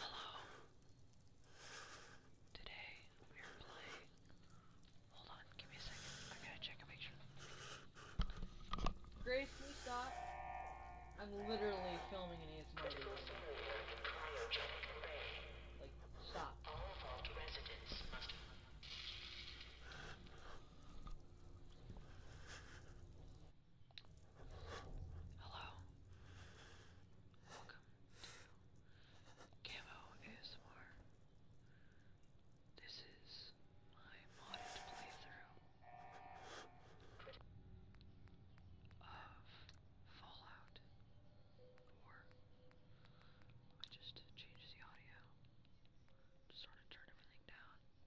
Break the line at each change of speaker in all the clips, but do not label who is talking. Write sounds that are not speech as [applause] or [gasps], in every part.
Hello. Today we are playing. Hold on, give me a second. I gotta check and make Grace, stop? I'm literally filming an ASMR video. stop. Hello. Welcome to Camo ASMR. This is my modded playthrough of Fallout 4. I just changed the audio. Just sort of turn everything down.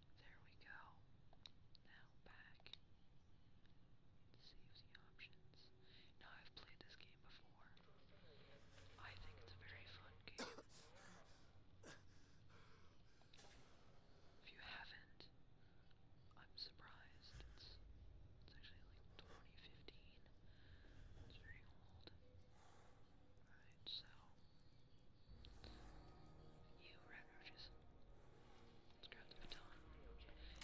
There we go. Now back. Save the options. Now I've played this game before. I think it's a very fun game. [coughs] if you haven't, I'm surprised. It's it's actually like 2015. It's very old. Right, so you rat Let's grab the baton.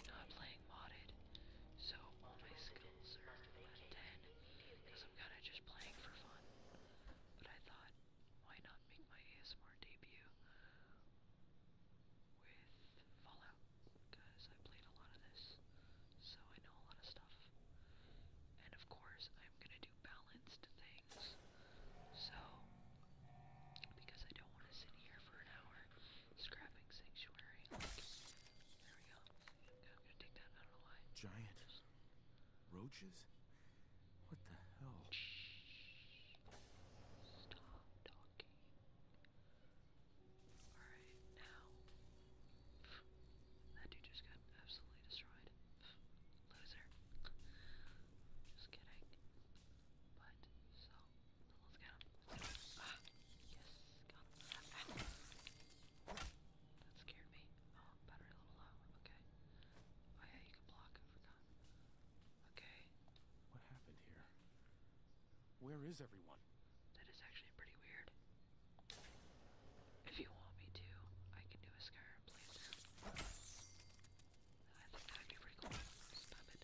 Now I'm playing modded, so all my skills are at 10, because I'm kind of just playing for fun. But I thought, why not make my ASMR debut with Fallout? Because I played a lot of this, so I know a lot of stuff. And of course, I'm gonna balanced things. So, because I don't want to sit here for an hour scrapping Sanctuary. There we go. I'm gonna take that. I don't know Giant roaches? What the hell? Shh. Stop talking. Alright, now. That dude just got absolutely destroyed. Loser. Just kidding. But, so, let's get him. Ah, yes, got him. That scared me. Oh, battery a little low. Okay. Oh yeah, you can block. I forgot. Okay. What happened here? Where is everyone? That is actually pretty weird. If you want me to, I can do a Skyrim playthrough. I think that'd Stop it.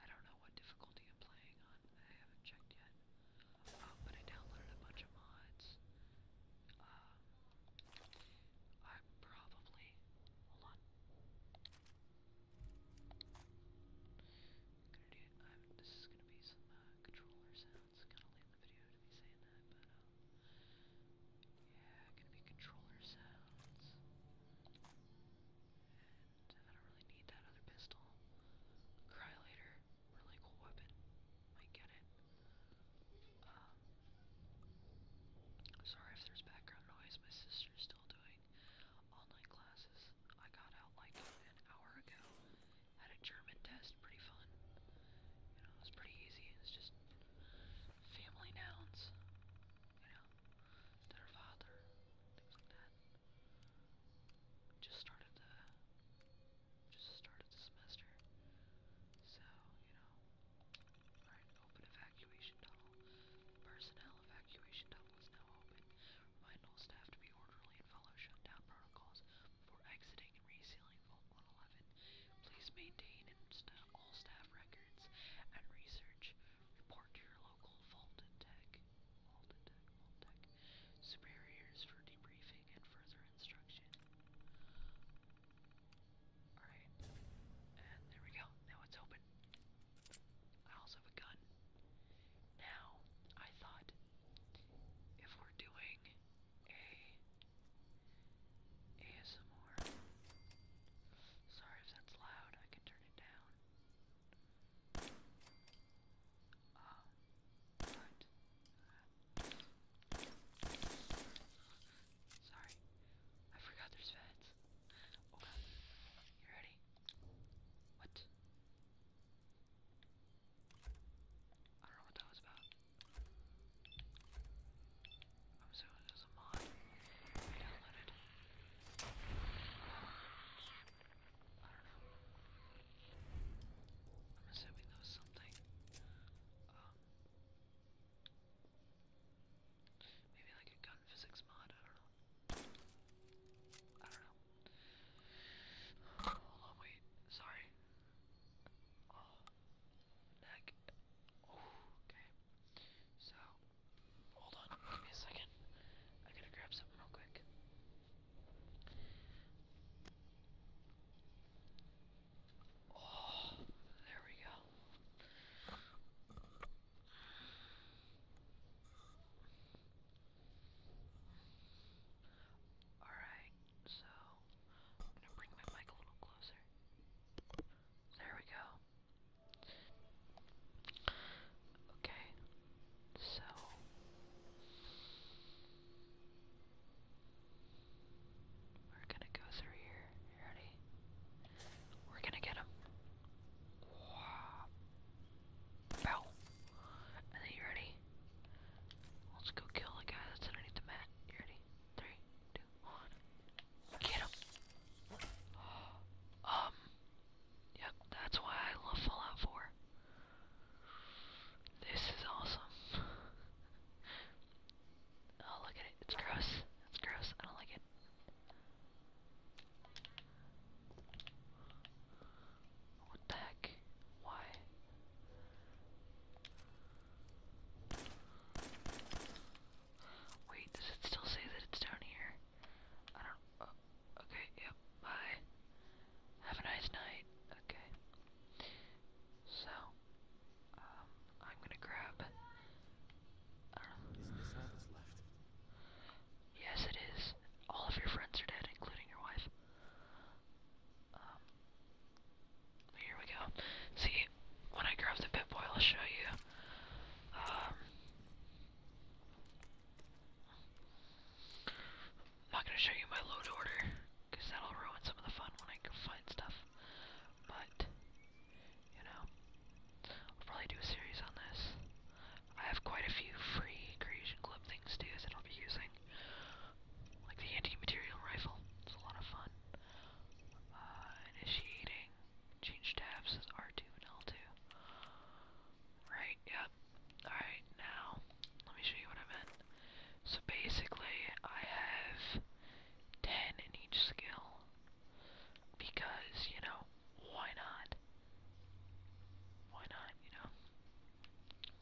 I don't know what difficulty I'm playing on. I haven't checked yet. Uh, but I downloaded a bunch of mods. Um, I'm probably. Hold on. gonna do. I'm, this is gonna be some uh, controller sounds. Kind of late the video to be saying that, but um, yeah, gonna be controller sounds. I don't really need that other pistol. Cryolator, really cool weapon. Might get it. Um, sorry if there's background noise. My sister's still doing online classes. I got out like an hour ago, had a German test, pretty fun. You know, it's pretty easy. It's just family nouns. You know, their father, things like that. Just started the, just started the semester. So you know, alright. Open evacuation tunnel. Personnel evacuation tunnel is now open. Remind all staff to be orderly and follow shutdown protocols before exiting and resealing Vault 111. Please maintain sta all staff records and research. Report to your local Vault and Tech, Vault and Tech, Vault Tech superiors for debriefing and further instruction. Alright. And there we go. Now it's open. I also have a gun. Now, I thought if we're doing ASMR. Sorry if that's loud, I can turn it down. Um, but, sorry, I forgot there's feds. Okay, oh, you ready? What? I don't know what that was about. I'm assuming it was a mod. I downloaded. I don't know. I'm assuming that was something. Um, maybe like a gun physics mod. I don't know. I don't know. Hold on, wait. Sorry. Oh, okay. So, hold on. Give me a second. I gotta grab something real quick. Oh, there we go. All right so I'm gonna bring my mic a little closer. There we go. Okay, so. We're gonna go through here. You ready? We're gonna get him. Bow. ready? Let's go kill the guy that's underneath the mat. You ready? Three, two, one. Get him! [gasps] Um. Yep, that's why I love Fallout 4. This is awesome. [laughs] oh, look at it. It's gross. It's gross. I don't like it. What Why? Wait, does it still say that it's down here? I don't. Uh, okay, yep, bye. Have a nice night. Okay. So, um, I'm gonna grab. I don't know. Yes, it is. All of your friends are dead, including your wife. Um, here we go. See, when I grab the pit I'll show you. Um, I'm not gonna show you my load order, because that'll ruin some of the fun when I find stuff. But, you know, I'll probably do a series on this. I have quite a few free creation club things too that I'll be using thing. Like the anti-material rifle. It's a lot of fun. Uh, initiating. Change tabs is R2 and L2. Right, yep. Alright, now, let me show you what I meant. So basically, I have 10 in each skill. Because, you know, why not? Why not, you know?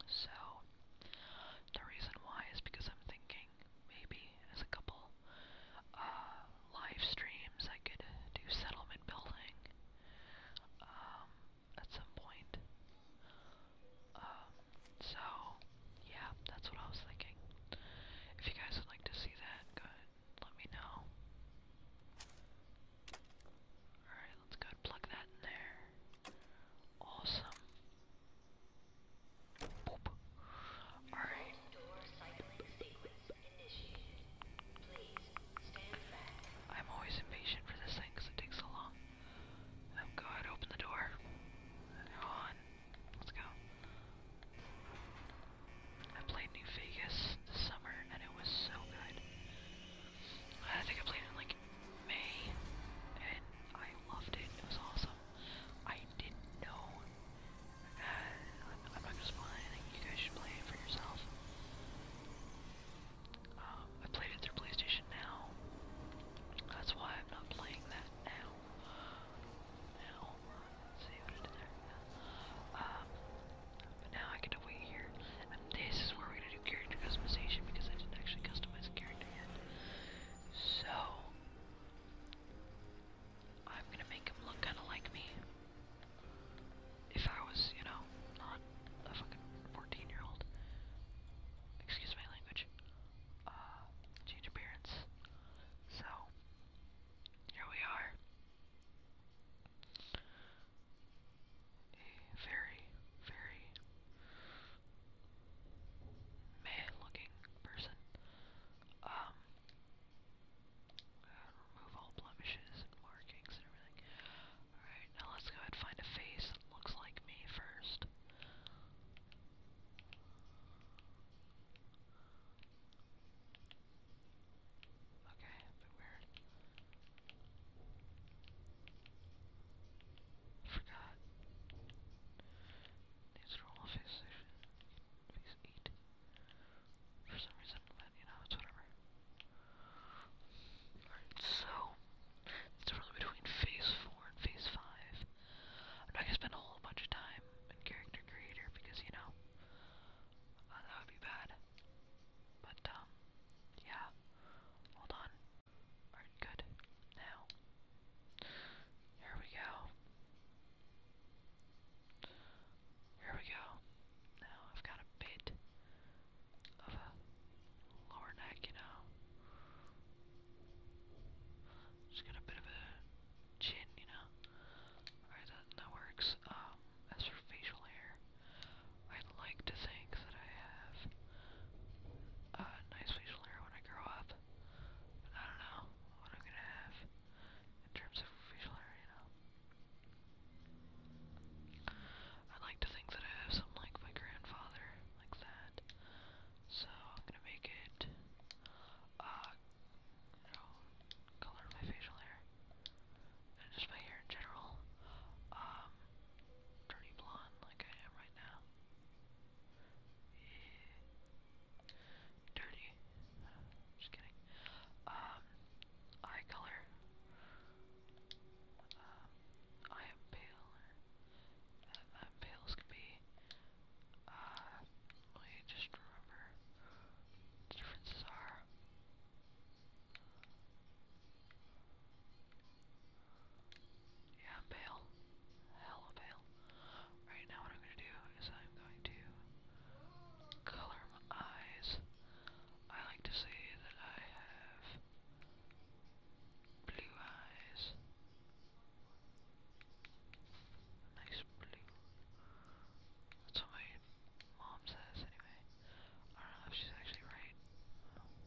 So, the reason why is because I'm thinking maybe as a couple uh, live streams I could do settlement building um, at some point. Um, so, yeah, that's what I was thinking. If you guys would like to see that, good. let me know. Alright, let's go plug that in there. Awesome. Boop. Alright. I'm always impatient for this thing because it takes so long. Oh god, open the door. on. Let's go. I played New Vegas this summer and it was so good. I think I played it in like May, and I loved it. It was awesome. I didn't know. Uh, I'm, I'm not gonna spoil anything. You guys should play it for yourself. Um, I played it through PlayStation Now. That's why I'm not playing that now. Now, see what I there. Um, but now I get to wait here. And this is where we're gonna do character customization because I didn't actually customize the character yet. So I'm gonna make him look kinda like me. If I was, you know, not a fucking 14 year old. Excuse my language. Uh, change appearance. So, here we are a very, very man-looking person. Um, remove all blemishes and markings and everything. Alright, now let's go ahead and find a face that looks like me first. Okay, a weird. Forgot. Needs normal face station. Face 8. For some reason, but you know, it's whatever. Alright, so. It's really between phase 4 and phase 5. I'm not gonna spend a whole bunch of time in character creator because, you know, uh, that would be bad. But, um, yeah. Hold on. Alright, good. Now. Here we go. Here we go. Now I've got a bit of a lower neck, you know. Just got a bit of a chin, you know. Alright, that, that works. Um, as for facial hair, I'd like to think that I have a nice facial hair when I grow up. I don't know what I'm gonna have in terms of facial hair, you know. I'd like to think that I have something like my grandfather, like that. So I'm gonna make it uh you know, color my facial hair and just my hair in general, um, dirty blonde like I am right now. Dirty. Just kidding. Um, eye color. Um, I am pale. Uh, I'm be. Uh, let me just remember differences are. Yeah, bail. Hello, bail. Right now what I'm going to do is I'm going to color my eyes. I like to say that I have blue eyes. Nice blue. That's what mom says, anyway. I don't know if she's actually right. Um,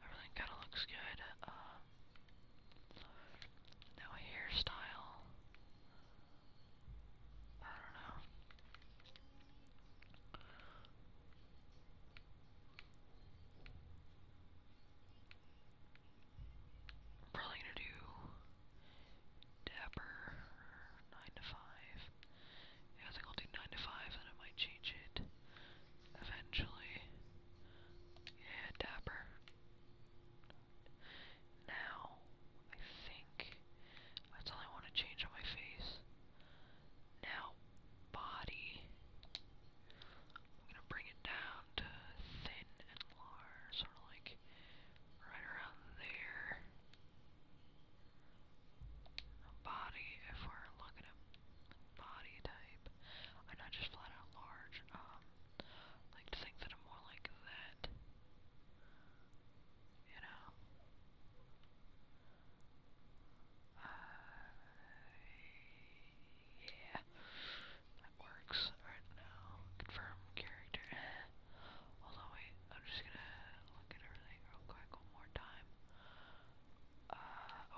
Everything kind of looks good. Um, now hairstyle. I don't know. probably gonna do Dapper nine to five. I think I'll do nine to five, and I might change it Eventually. Yeah, Dapper. Now, I think that's all I want to change on my face. Now, body. I'm gonna bring it down to thin and large, sort of like right around there. Body, if we're looking at body type. i just flat out large. Um, like to think that I'm more like that. You know? Uh, yeah. That works right now. Confirm character. Although, wait, I'm just gonna look at everything real quick one more time. Uh,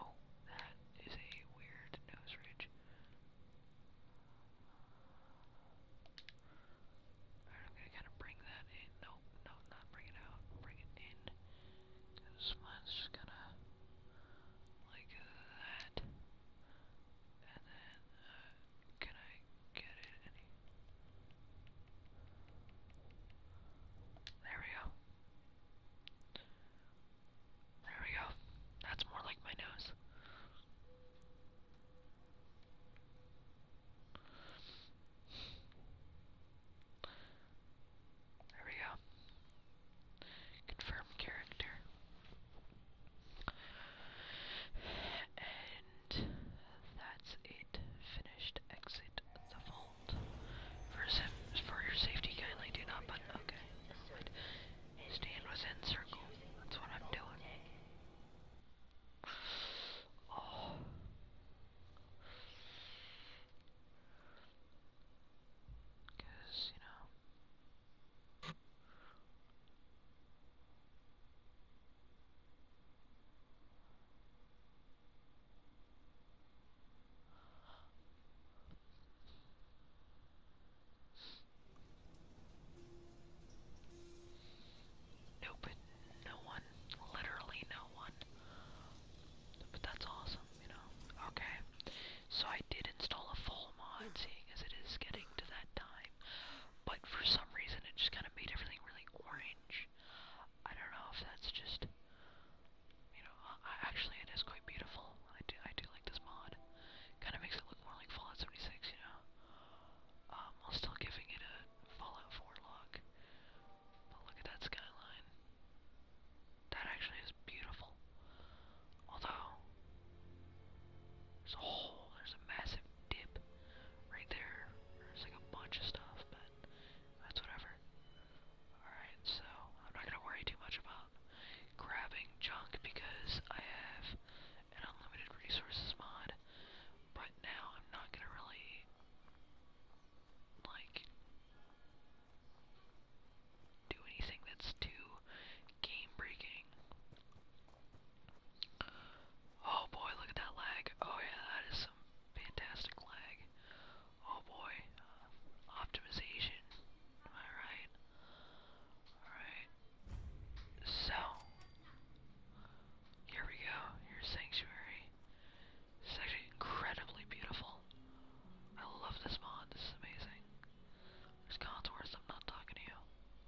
oh, that is a weird nose ridge. I'm gonna kind of bring that in. No, no, not bring it out. Bring it in. This one's just gonna, like uh, that. And then, uh, can I get it any? There we go. There we go. That's more like my nose. There we go. Confirm character. And that's it. Finished. Exit the vault hold. For, for your safety, kindly do not but okay. Right. Stand within circle. That's what I'm doing. Oh. Cause, you know. No, no one. Literally no one. But that's awesome, you know. Okay. So I did install a full mod, seeing as it is getting to that time. But for some reason, it just kind of made everything really orange. I don't know if that's just you know, actually it is quite beautiful. I do, I do like this mod. Kind of makes it look more like Fallout 76, you know. Um, while still giving it a Fallout 4 look. But look at that skyline. That actually is beautiful. Although, there's a hole, there's a massive dip right there. There's like a bunch of stuff, but that's whatever. Alright, so I'm not gonna worry too much about grabbing junk because I have an unlimited resources mod, but now I'm not gonna really, like, do anything that's too game-breaking. Oh boy, look at that lag. Oh yeah, that is some fantastic lag. Oh boy. Uh, optimization. Am I right? Alright. So. Here we go. Here's Sanctuary. is actually incredibly beautiful. I love this mod. This is amazing. There's Contours. I'm not talking to you.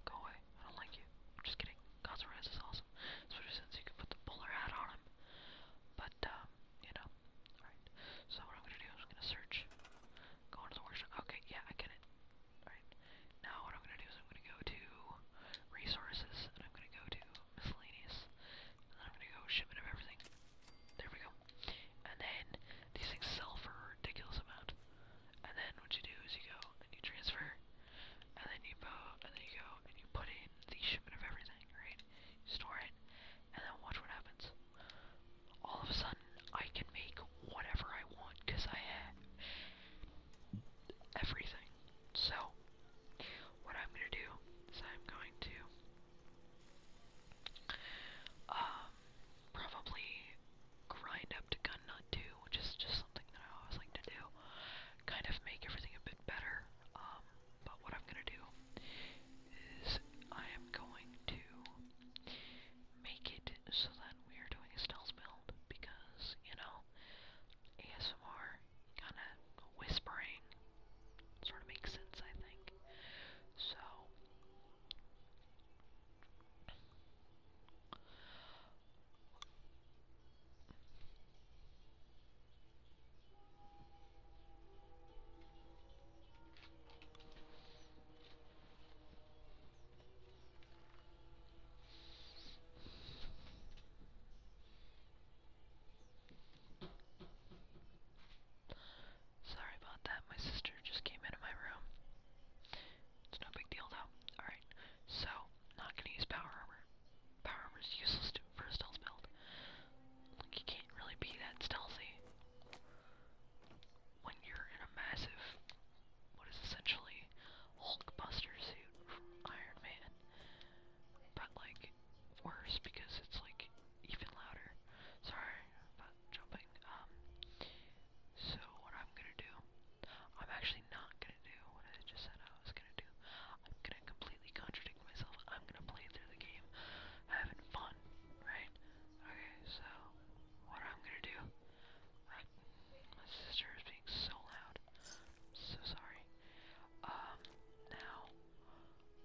Go away. I don't like you. I'm just kidding. Contours is awesome. Especially since you can put the bowler hat on him. But, um, you know, Alright, so what I'm gonna do is I'm gonna search, go into the workshop. Okay, yeah, I get it. Alright, now what I'm gonna do is I'm gonna go to resources, and I'm gonna go to miscellaneous, and then I'm gonna go shipment of everything. There we go. And then these things sell for a ridiculous amount. And then what you do is you go and you transfer, and then you go and then you go and you put in the shipment of everything, right? store it, and then watch what happens. All of a sudden, I can make whatever I want because I have everything. So, what I'm gonna do is I'm going to um, probably grind up to Gun Gunnut 2, which is just something that I always like to do. Kind of make everything a bit better. Um, but what I'm gonna do is I am going to make it so that we are doing a stealth build because, you know, ASMR kinda whispering sort of makes sense, I think. So Sorry about that, my sister just came into my room. It's no big deal though. Alright, so, not gonna use power armor. Power Armor is useless to, for a stealth build. Like, you can't really be that stealthy when you're in a massive, what is essentially Hulkbuster suit Iron Man. But, like, worse because it's, like, even louder. Sorry about jumping. Um, so what I'm gonna do, I'm actually not gonna do what I just said I was gonna gonna do. I'm gonna completely contradict myself. I'm gonna play through the game having fun, right? Okay, so what i gonna do. my sister is being so loud. so sorry. Um, now,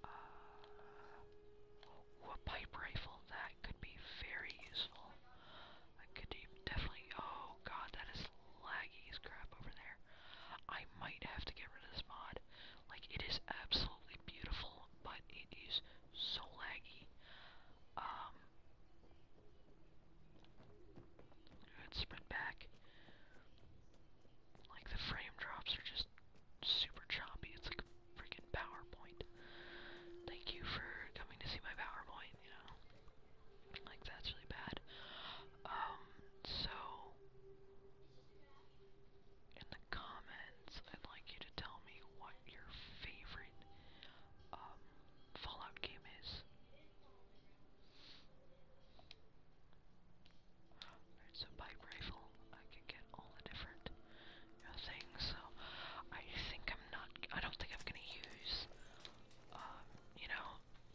uh, a pipe rifle, that could be very useful. I could definitely, oh god, that is laggy crap over there. I might have to get rid of this mod. Like, it is absolutely beautiful, but it is so laggy. Um, let sprint back. Like, the frame drops are just super choppy. It's like a freaking PowerPoint. Thank you for coming to see my PowerPoint, you know. Like, that's really bad. Um, so in the comments, I'd like you to tell me what your favorite um, Fallout game is. It's a pipe rifle. I can get all the different you know, things. So I think I'm not. I don't think I'm gonna use um, you know,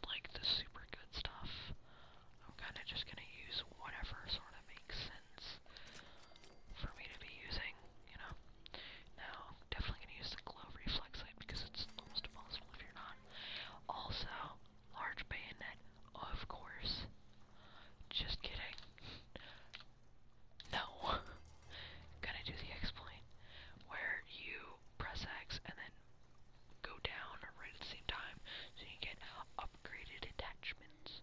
like the super good stuff. I'm kind of just gonna use whatever sort of makes sense for me to be using, you know. Now, definitely gonna use the glow reflex light because it's almost impossible if you're not. Also, large bayonet, of course. Just kidding. No. [laughs] Gonna do the exploit where you press X and then go down right at the same time, so you get upgraded attachments.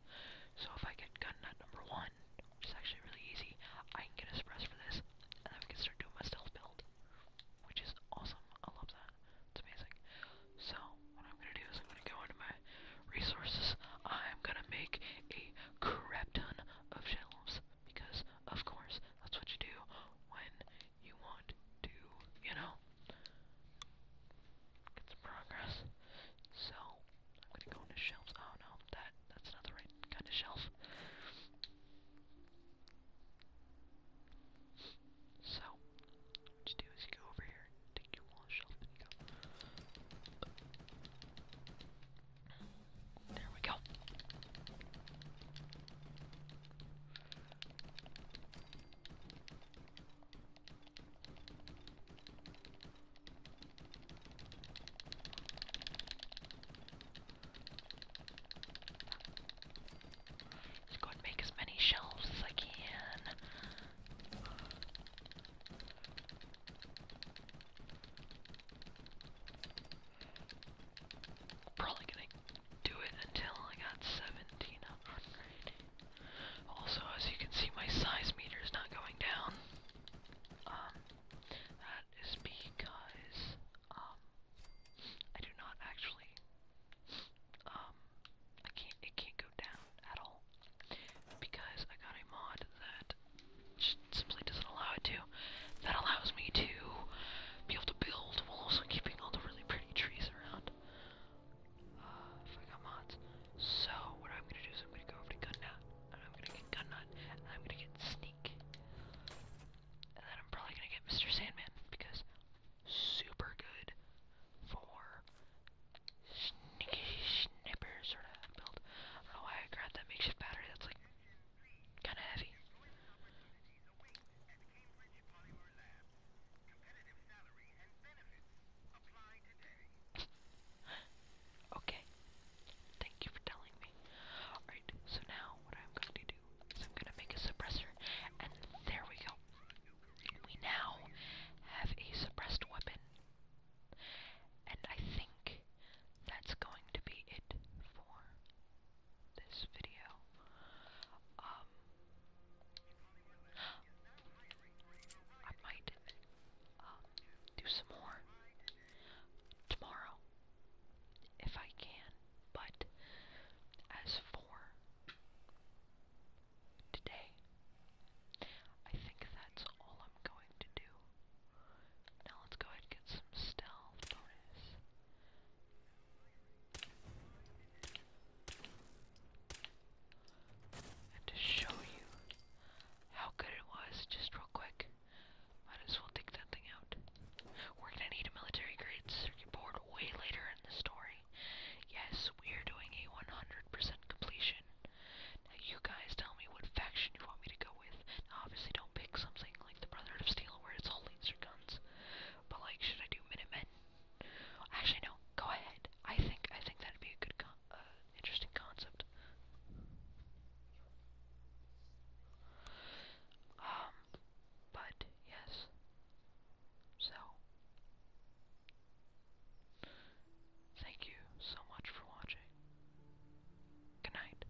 So if I get gun nut number one, which is actually really easy, I can get a suppress for this, and then we can start doing my stealth build, which is awesome. I love that. It's amazing. So what I'm gonna do is I'm gonna go into my resources. I'm gonna make a crap ton of shelves because, of course, that's what you do when you want to, you know, get some progress. So, I'm gonna go into shelves. Oh no, that that's not the right kind of shelf. So, what you do is you go over here, take your wall shelf, and you go. There we go. Let's go and make as many shelves as I can. Probably gonna do it until I got 1700. Also, as you can see, my size meter is not going down. Um, that is because, um, I do not actually, um, I can't, it can't go down at all. Because I got a mod that simply doesn't allow it to. That allows me to be able to build while also keeping all the really pretty trees around. Uh, if I got mods. So, what I'm gonna do is I'm gonna go over to Gunnut, and I'm gonna get Gunnut, and I'm gonna get Sneak. And then I'm probably gonna get Mr. Sandman, because super good for sneaky snipper sort of build. I don't know why I grabbed that makeshift battery, that's like Kinda heavy. okay. Thank you for telling me. Alright, so now what I'm going to do is I'm going to make a suppressor, and there we go. We now have a suppressed weapon. And I think that's going to be it for this video. Um, I might um, do some more tomorrow if I can, but as for today, I think that's all I'm going to do. Now let's go ahead and get some stealth bonus. And to show you how good it was, just real quick, might as well take that thing out. We're gonna need a military grade circuit board way later in the story. Yes, we are doing a 100% completion. Now you guys tell me what faction you want me to go with. Obviously, don't pick something like the Brotherhood of Steel where it's all laser guns. But like, should I do Minutemen? Actually, no. Go ahead. I think I think that'd be a good, uh, interesting concept. Um, but yes. So, thank you so much for watching. Good night.